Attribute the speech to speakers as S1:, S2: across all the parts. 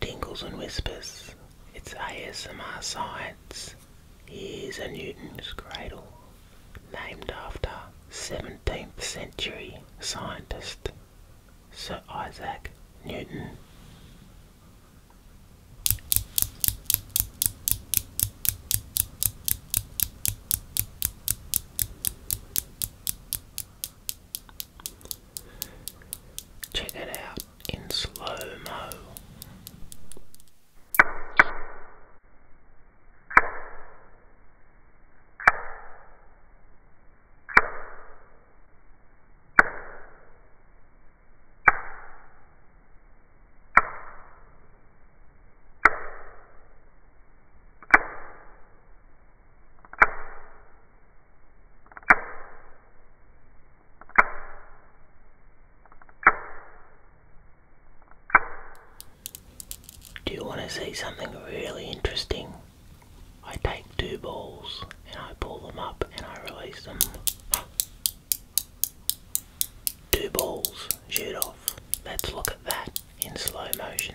S1: Tingles and Whispers. It's ASMR Science. Here's a Newton's cradle, named after 17th century scientist Sir Isaac Newton. Check it out in slow mo. Do you want to see something really interesting? I take two balls and I pull them up and I release them. Two balls shoot off. Let's look at that in slow motion.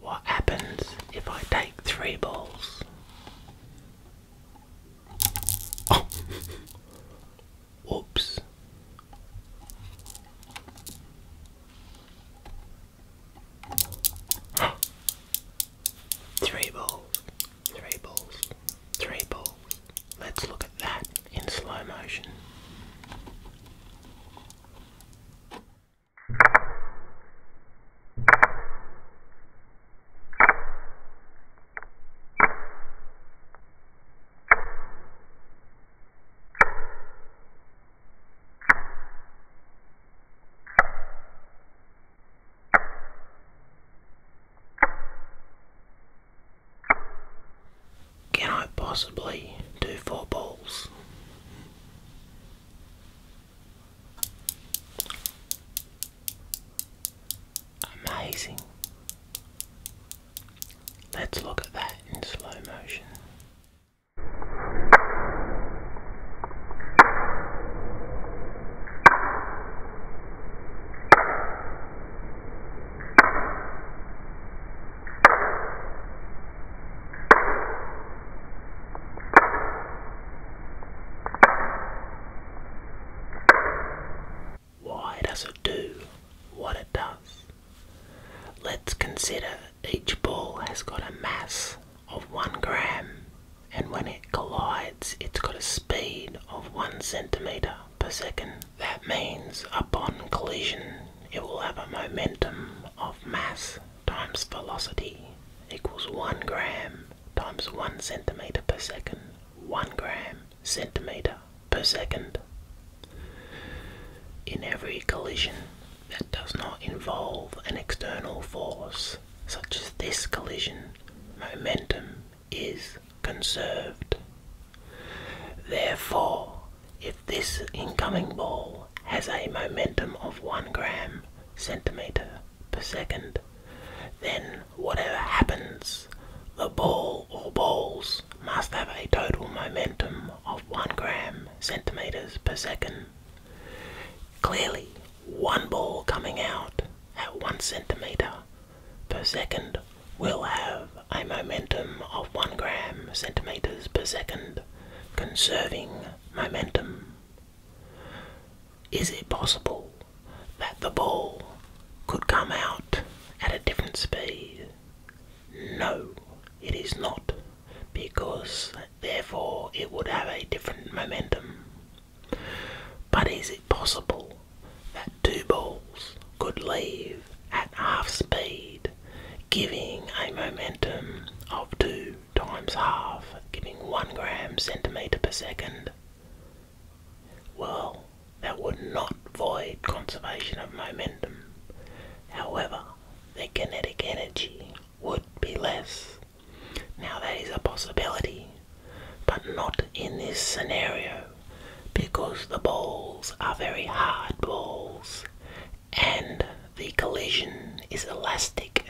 S1: What happens if I take three balls? Oh. Oops. Three balls, three balls, three balls, Let's look at that in slow motion. Can I possibly do four balls? Amazing. Let's look at that in slow motion. Why does it do what it does? Let's consider each ball has got a mass of one gram, and when it collides, it's got a speed of one centimetre per second. That means upon collision it will have a momentum of mass times velocity equals 1 gram times 1 centimeter per second. 1 gram centimeter per second. In every collision that does not involve an external force, such as this collision, momentum is conserved. Therefore, if this incoming ball has a momentum of 1 gram centimeter per second, then whatever happens, the ball or balls must have a total momentum of 1 gram centimeters per second. Clearly, one ball coming out at 1 centimeter per second will have a momentum of 1 gram centimeters per second, conserving momentum. Is it possible that the ball could come out at a different speed? No, it is not, because therefore it would have a different momentum. But is it possible that two balls could leave at half speed, giving a momentum of 2 times half, giving 1 gram centimetre per second? Well, that would not void conservation of momentum. However, the kinetic energy would be less now that is a possibility, but not in this scenario because the balls are very hard balls and the collision is elastic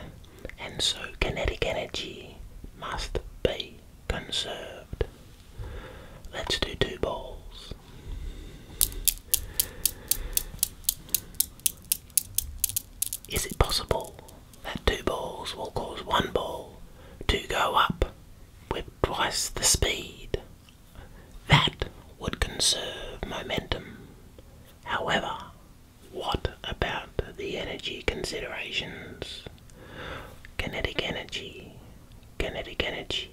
S1: and so kinetic energy must be conserved. Let's do two balls. Is it possible that two balls will cause one ball to go up with twice the speed. That would conserve momentum. However, what about the energy considerations? Kinetic energy, kinetic energy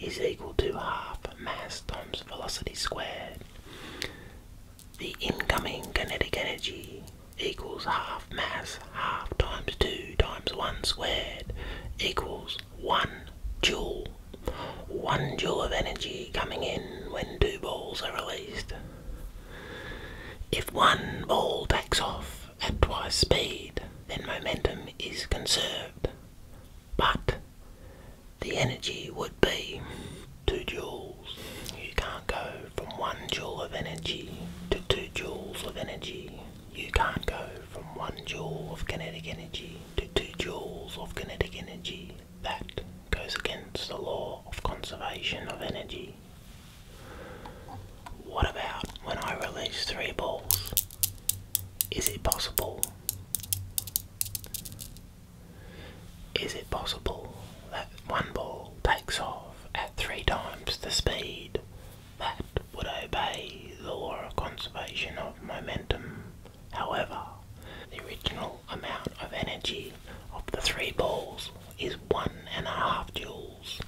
S1: is equal to half mass times velocity squared. The incoming kinetic energy equals half mass half times 2 times 1 squared equals 1 joule. 1 joule of energy coming in when two balls are released. If one ball takes off at twice speed, then momentum is conserved. But the energy would be 2 joules. You can't go from 1 joule of energy to 2 joules of energy. You can't go from 1 joule of kinetic energy to 2 joules of kinetic energy. That goes against the law of conservation of energy. What about when I release three balls? Is it possible? Is it possible that one ball takes off at three times the speed that would obey the law of conservation of momentum? However, the original amount of energy of the three balls is one and a half joules.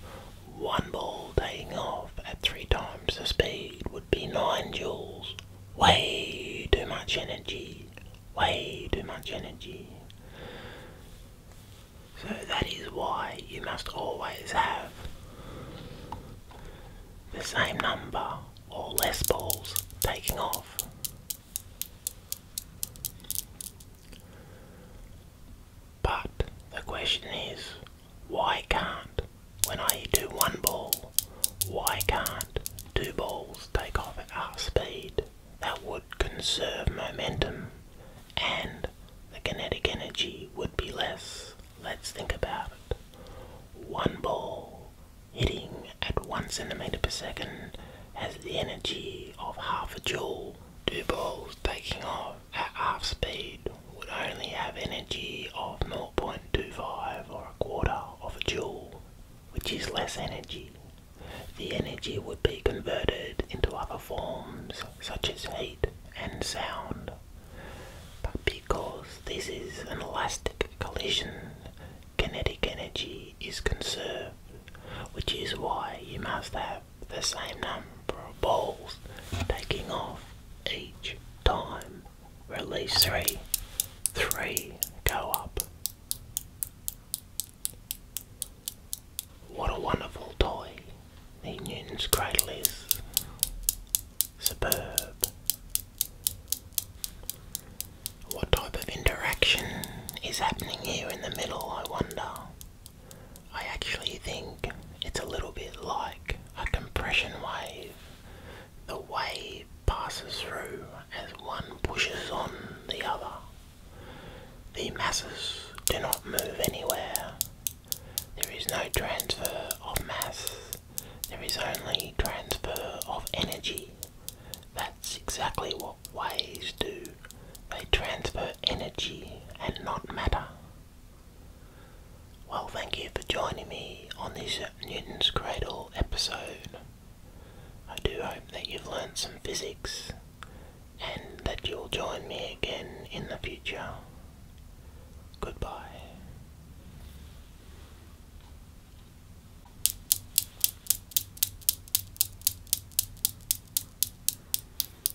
S1: One ball taking off at three times the speed would be nine joules. Way too much energy. Way too much energy. So that is why you must always have the same number or less balls taking off. But the question is, why can't when I do one ball, why can't two balls take off at half speed? That would conserve momentum and the kinetic energy would be less. Let's think about it. One ball hitting at one centimeter per second has the energy of half a joule. Two balls taking off at half speed would only have energy of 0.25 or a quarter of a joule, which is less energy. The energy would be converted into other forms such as heat and sound. But because this is an elastic collision, kinetic energy is conserved, which is why you must have the same number of balls taking off each time release three, three, go up. What a wonderful toy, the Newton's cradle is. Superb. What type of interaction is happening here in the middle, I wonder? I actually think it's a little bit like a compression wave. The wave passes through as one pushes on the other. The masses do not move anywhere. There is no transfer of mass. There is only transfer of energy. That's exactly what waves do. They transfer energy and not matter. Well, thank you for joining me on this Newton's Cradle episode. I do hope that you've learned some physics and that you'll join me again in the future. Goodbye.